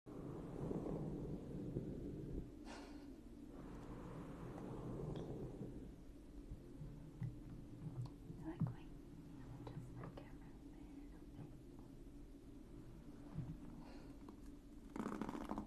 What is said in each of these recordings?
I like my just the camera a little bit. Thank you for the roses.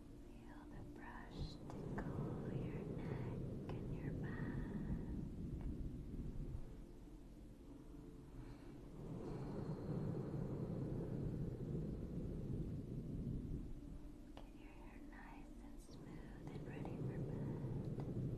Feel the brush tickle your neck and your back. Get your hair nice and smooth and ready for bed. Thank you for the rose.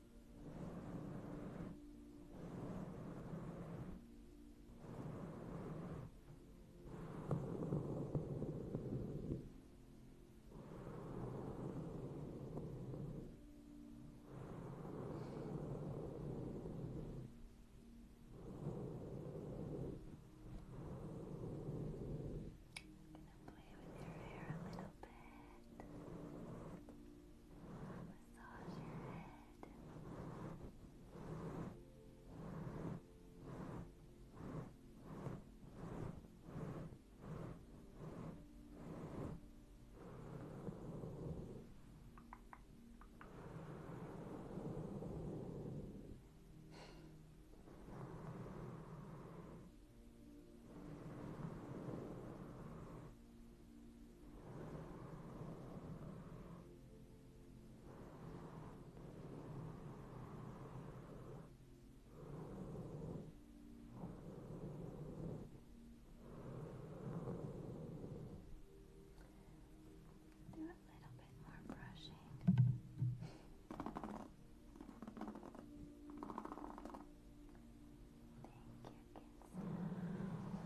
Play with your hair a little bit. Massage your head. Good. Do a little bit more brushing. Thank you. Thank you for the lights.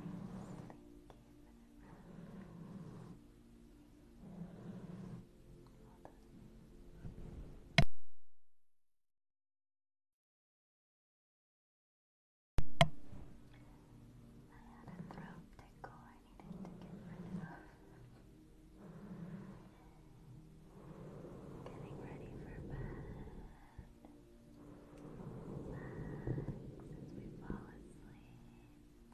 Thank you had a throat tickle I needed to get rid Getting ready for bed. as we fall asleep.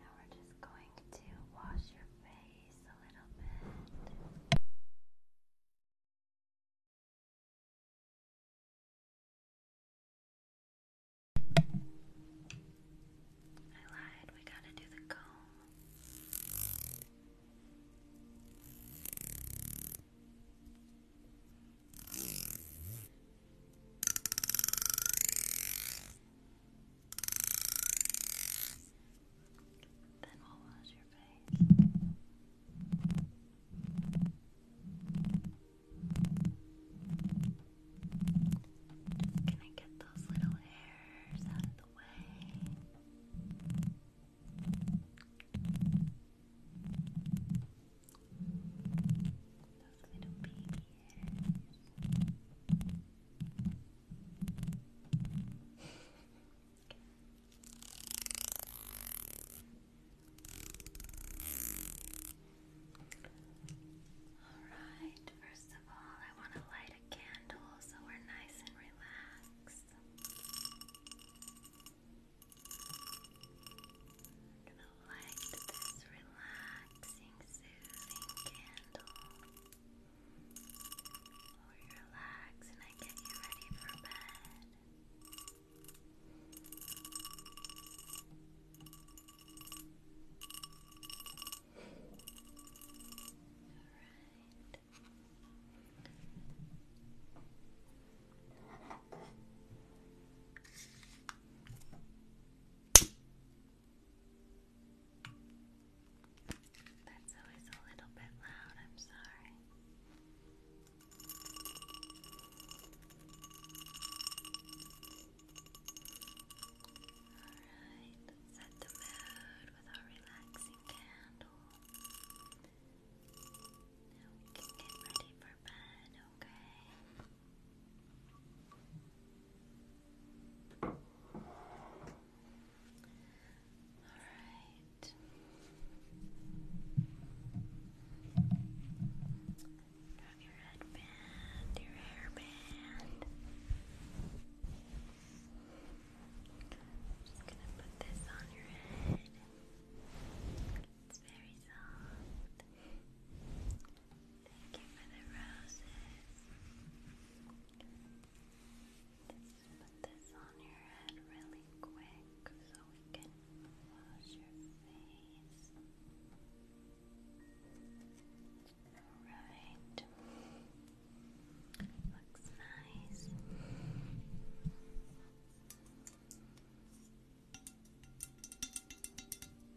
Now we're just going to wash your face a little bit. I lied, we gotta do the comb. Then we'll wash your face. Just gonna get those little hairs out of the way. Those little Alright, first of all, I want to light a candle so we're nice and relaxed gonna light this relaxing, soothing candle while relax and I get you ready for bed. Alright. That's always a little bit loud, I'm sorry. Alright, set the mood with our relaxing candle. Now we can get ready for bed, okay? right. Got your headband, your hairband. just gonna put this on your head. It's very soft. Thank you for the roses. Let's put this on your head really quick so we can wash your face. Alright. Looks nice.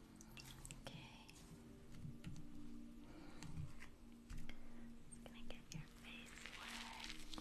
Okay. Just going get your face wet.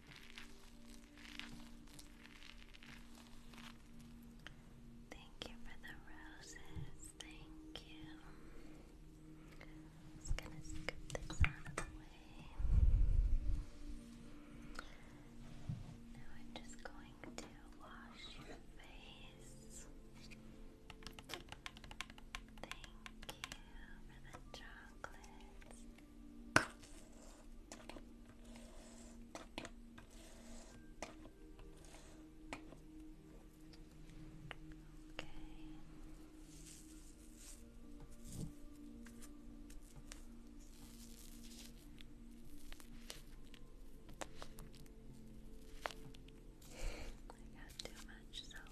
Thank you for the roses. Thank you. just gonna scoop this out of the way. Now I'm just going to wash your face. Thank you for the chocolates. I got too much soap.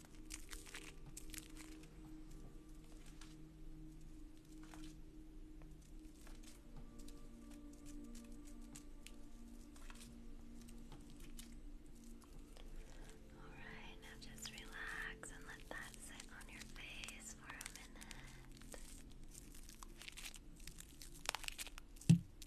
Alright, now just relax and let that sit on your face for a minute.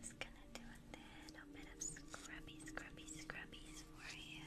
Just gonna do a little bit of scrubby, scrubby, scrubbies for you.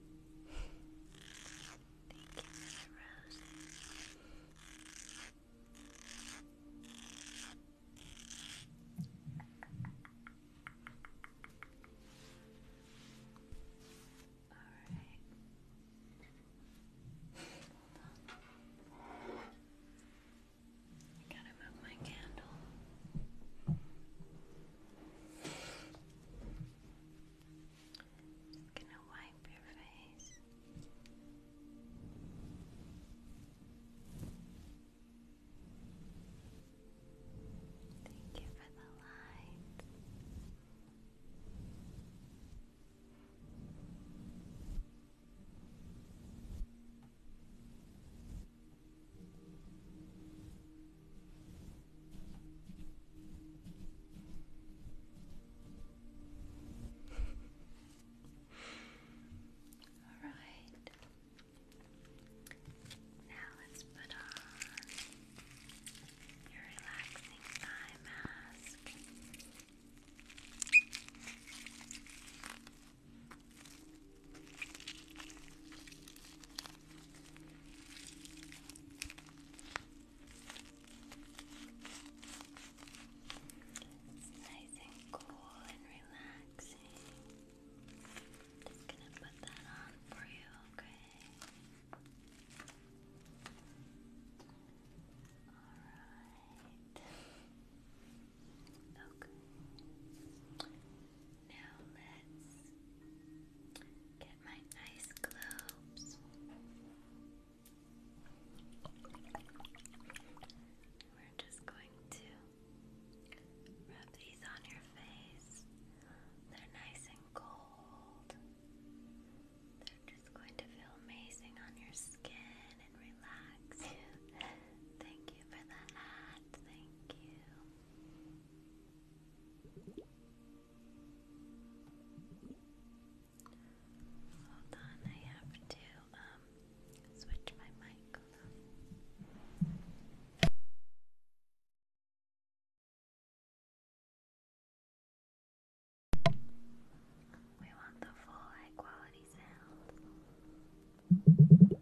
Thank you, Miss Rose. Alright. Hold on. I gotta move my candle. Just gonna wipe your face. Thank you for the light. All right. Now let's put on your relaxing eye mask. It's nice and cool and relaxing. Just gonna put that on for you, okay? Alright. Okay. Now let's get my ice globes. We're just going to rub these on your face. They're nice and cold. They're just going to feel amazing on your skin and relax Thank you for the hat. Thank you. Hold on, I have to um switch my mic. We want the full high quality sound.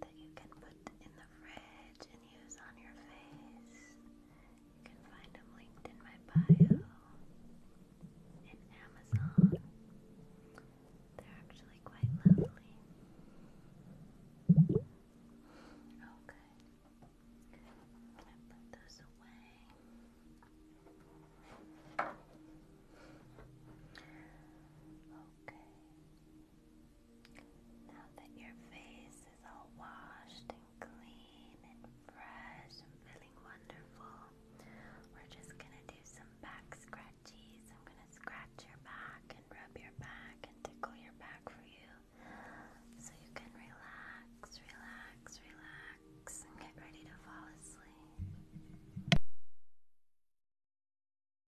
that you can put in the fridge and use on your face. You can find them linked in my bio, in Amazon. They're actually quite lovely. Okay. Oh, i put those away. Okay. Now that your face is all washed and clean and fresh and feeling wonderful, we're just gonna do some back scratchies. I'm gonna scratch your back and rub your back and tickle your back for you so you can relax, relax, relax, and get ready to fall asleep.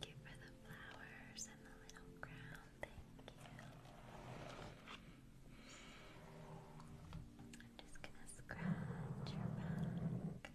Thank you for the flowers and the little crown. Thank you. I'm just gonna scratch your back.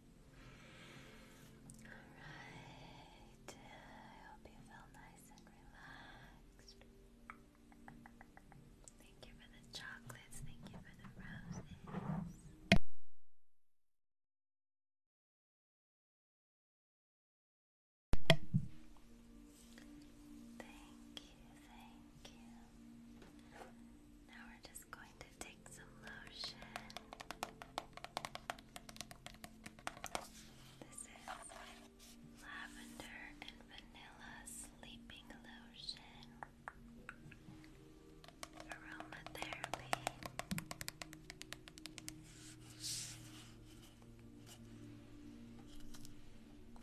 Alright, I hope you feel nice and relaxed. Thank you for the chocolates, thank you for the roses. Thank you, thank you just going to take some lotion. This is lavender and vanilla sleeping lotion. Aromatherapy.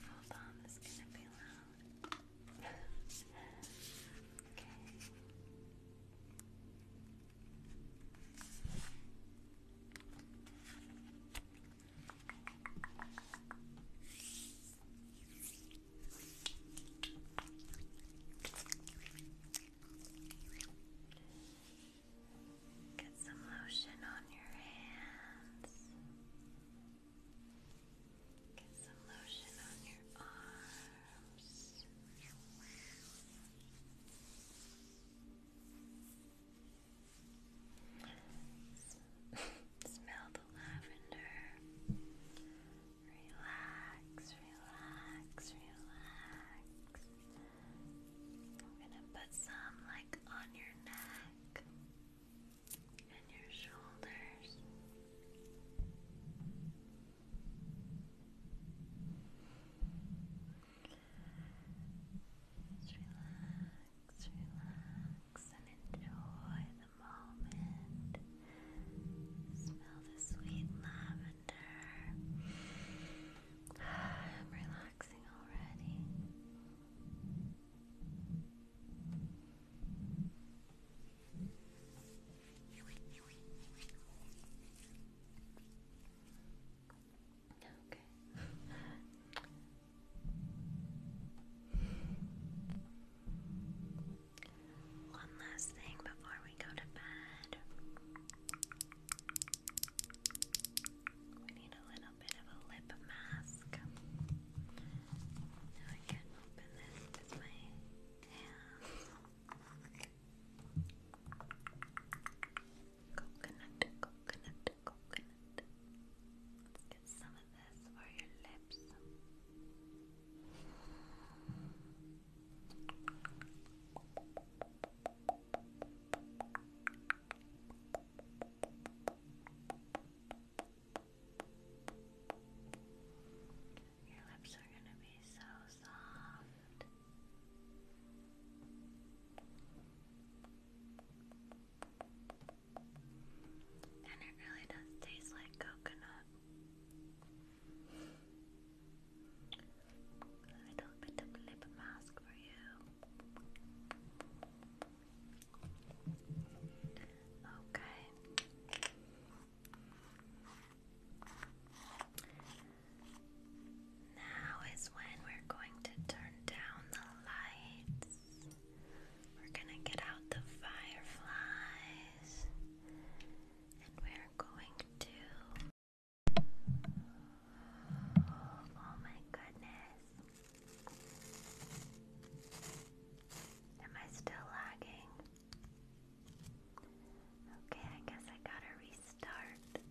Hold on, is gonna be loud. okay. Get some lotion on your hands. Get some lotion on your arms. Smell the lavender. Relax, relax, relax. I'm gonna put some like on your neck and your shoulders. Just relax, relax, and enjoy the moment. Smell the sweet lavender. I'm relaxing already. Okay. One last thing before we go to bed. We need a little bit of a lip mask. Now I can open this with my hands. Coconut, coconut, coconut. get some of this for your lips. Your lips are going to be so soft. And it really does taste like coconut. A little bit of lip mask for you. Okay. Now is when we're going to turn down the lights. We're going to get out the fireflies. And we're going to. Oh my goodness. Am I still lagging? Okay, I guess I gotta restart.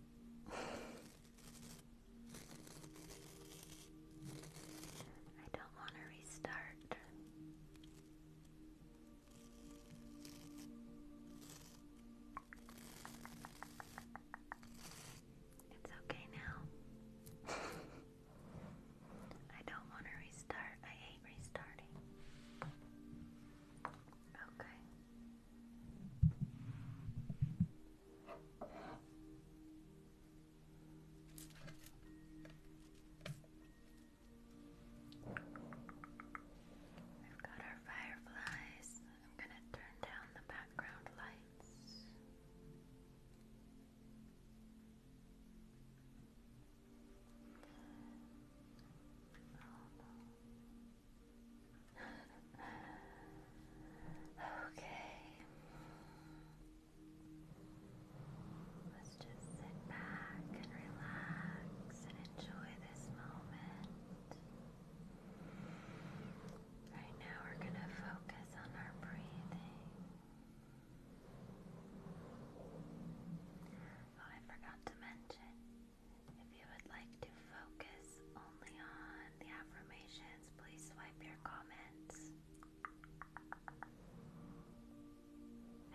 I don't want to restart. It's okay now. I don't want to restart. I hate restarting. Okay. We've got our fireflies. I'm going to turn down the background lights okay. Let's just sit back and relax and enjoy this moment. Right now, we're going to focus on our breathing. Oh, I forgot to mention if you would like to focus only on the affirmations, please swipe your comments.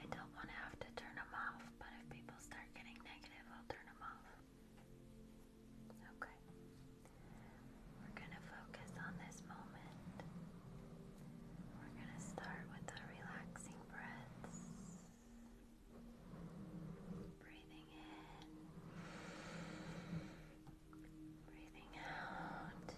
I don't want to have to turn them off, but if people start getting negative, I'll turn them off. Okay. We're going to focus on this moment. We're going to start with the relaxing breaths. Breathing in, breathing out.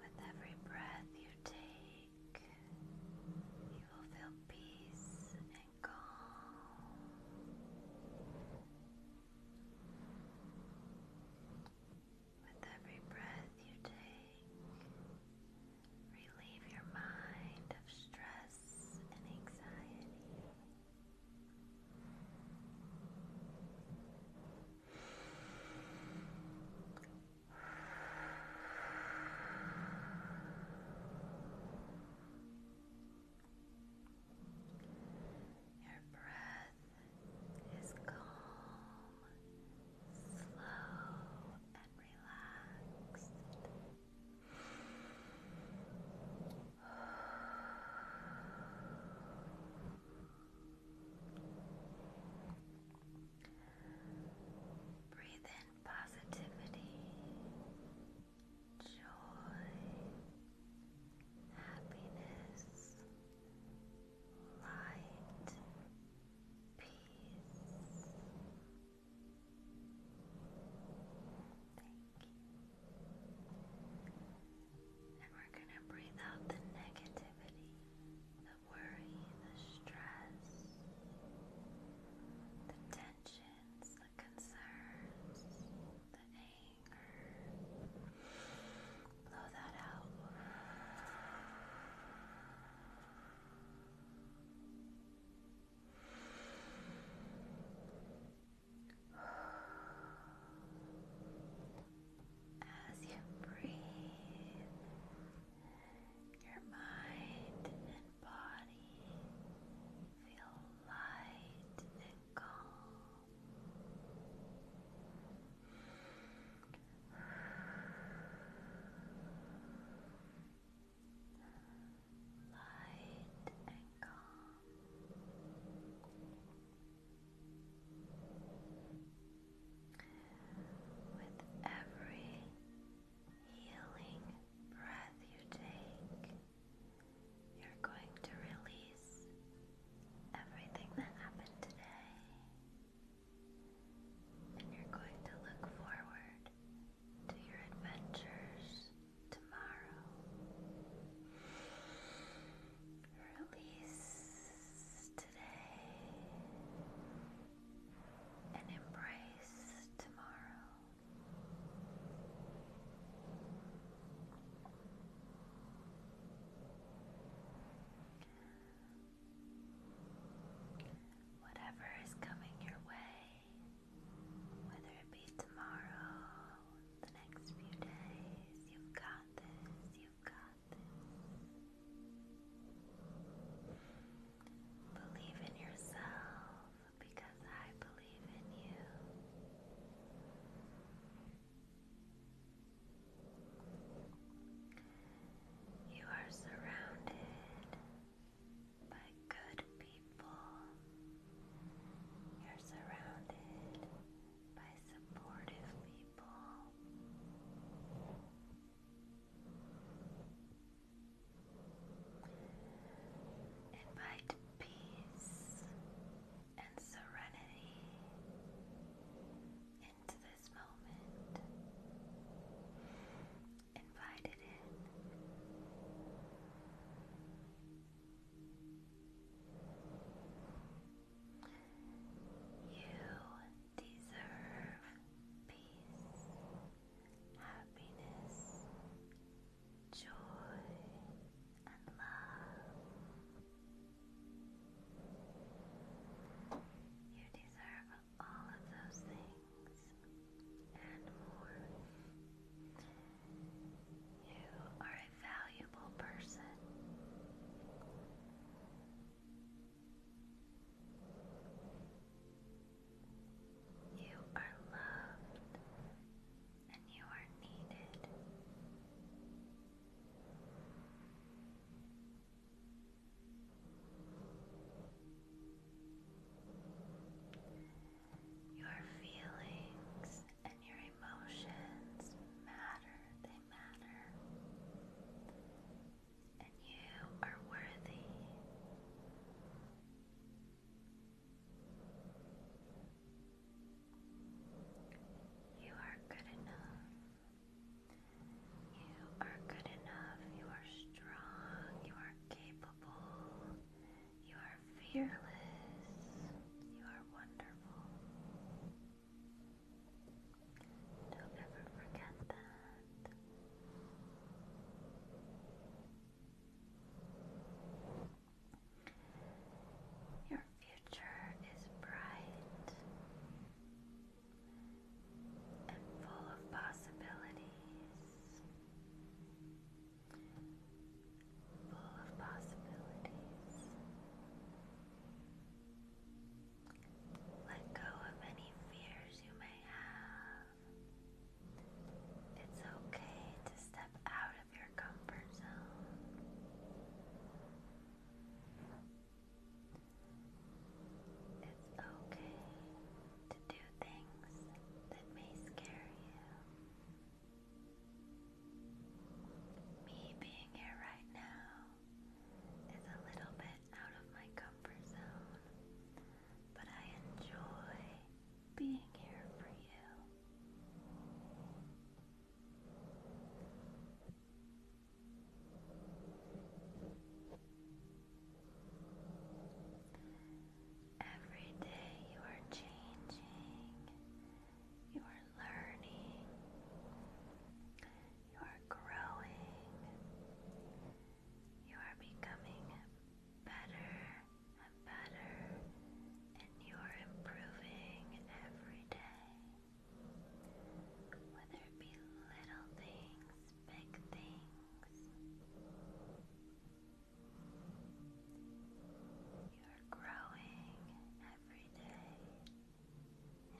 With every breath you take, you will feel peace and calm. With every breath you take, relieve your mind of stress and anxiety. Your breath is calm, slow, and relaxed. Breathe in positivity, joy, happiness, light, peace. Thank you. And we're going to breathe out the negativity, the worry, the stress, the tensions, the concerns, the anger. Blow that out. As you breathe, your mind and body feel light and calm. Light and calm. With every healing breath you take, you're going to release everything that happened today. And you're going to look forward to your adventures tomorrow. Release today and embrace tomorrow. Whatever is coming your way, whether it be tomorrow, the next few days. You've got this, you've got this. Believe in yourself because I believe in you. You are surrounded by good people you're surrounded by supportive people. Invite peace and serenity into this moment. Invite it you deserve peace, happiness, joy, and love. You deserve all of those things and more. You are a valuable person. You are loved and you are needed. Your feelings and your emotions matter, they matter. And you are worthy. You are good enough. You are good enough. You are strong. You are capable. You are fearless. You are wonderful. Don't ever forget that. Your future is bright and full of possibilities full of possibilities. Let go of any fears you may have. It's okay to step out of your comfort zone. It's okay to do things that may scare you. Me being here right now is a little bit out of my comfort zone, but I enjoy being here for you. Every day you are changing, you are learning, you are growing, you are becoming better and better, and you are improving every day. Whether it be little things, big things. You're growing every day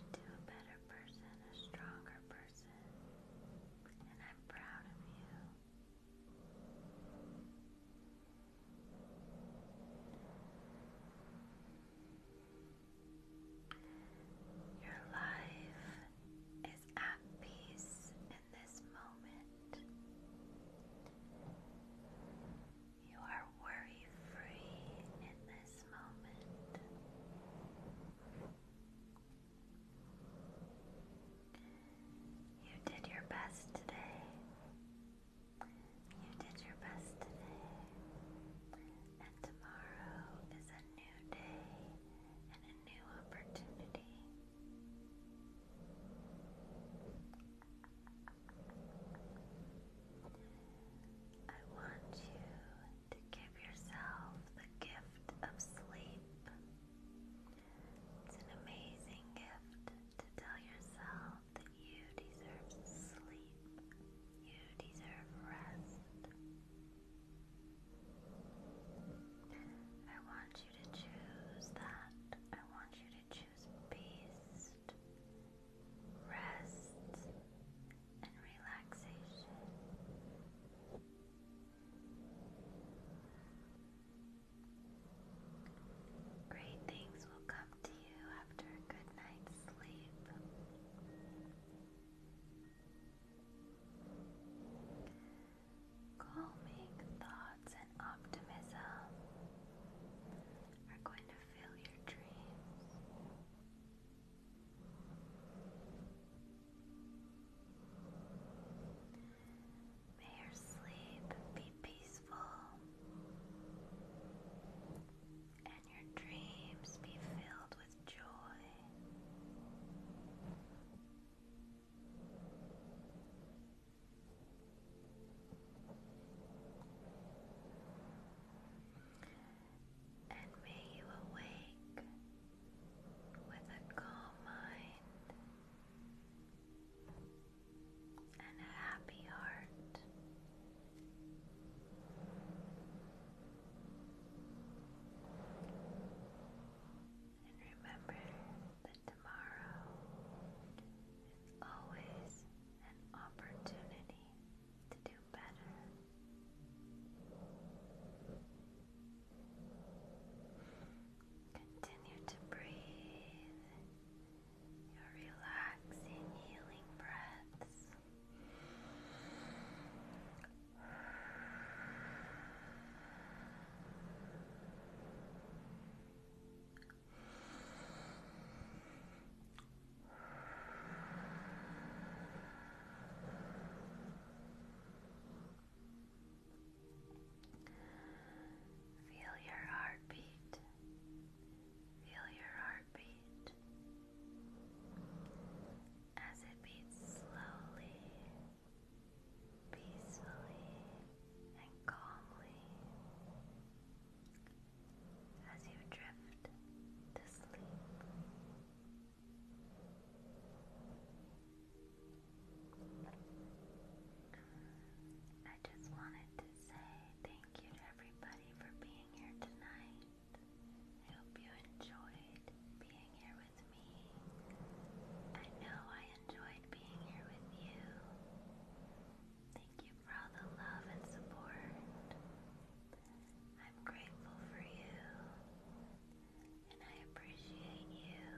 into a better person, a stronger person, and I'm proud of you. Your life is at peace this moment. You are worry free in this moment. You did your best today. You did your best today. And tomorrow is a new day and a new opportunity. I want you to give yourself the gift of sleep. It's an amazing gift to tell yourself that you deserve sleep, you deserve rest. I want to choose that. I want you to choose peace, rest, and relaxation. Great things will come to you after a good night's sleep calming thoughts and optimism are going to fill your dreams. May your sleep be peaceful and your dreams be filled with joy. And may you awake with a calm mind and a happy heart. And remember that tomorrow. It's always an opportunity to do better. Continue to breathe your relaxing, healing breaths. Feel your heartbeat. Feel your heartbeat as it beats slowly peacefully and calmly as you drift to sleep. I just wanted to say thank you to everybody for being here tonight. I hope you enjoyed being here with I know I enjoyed being here with you. Thank you for all the love and support. I'm grateful for you. And I appreciate you.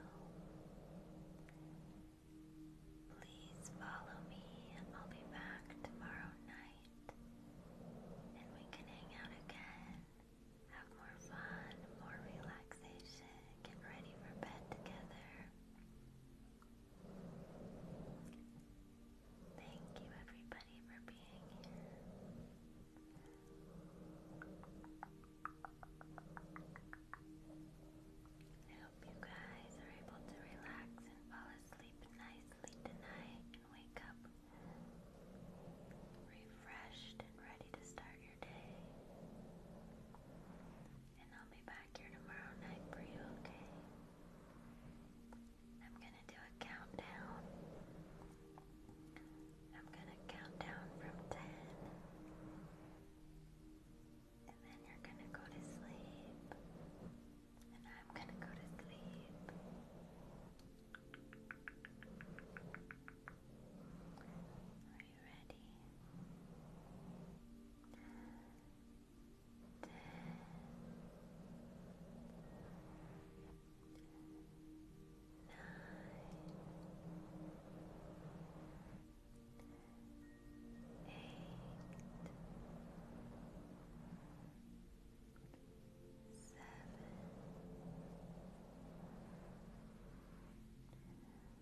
Please follow me, and I'll be back tomorrow night. And we can hang out again, have more fun, more relaxation get ready for bed together. Thank you, everybody, for being here. I hope you guys are able to relax and fall asleep nicely tonight and wake up refreshed and ready to start and I'll be back here tomorrow night for you, okay? I'm gonna do a countdown. I'm gonna count down from 10. And then you're gonna go to sleep. And I'm gonna go to sleep. Are you ready? Ten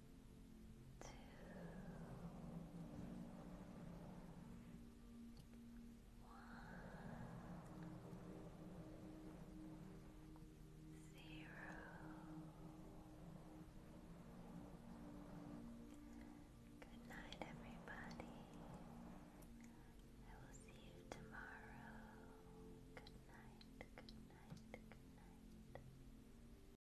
Good night, everybody. I will see you tomorrow. Good night, good night, good night.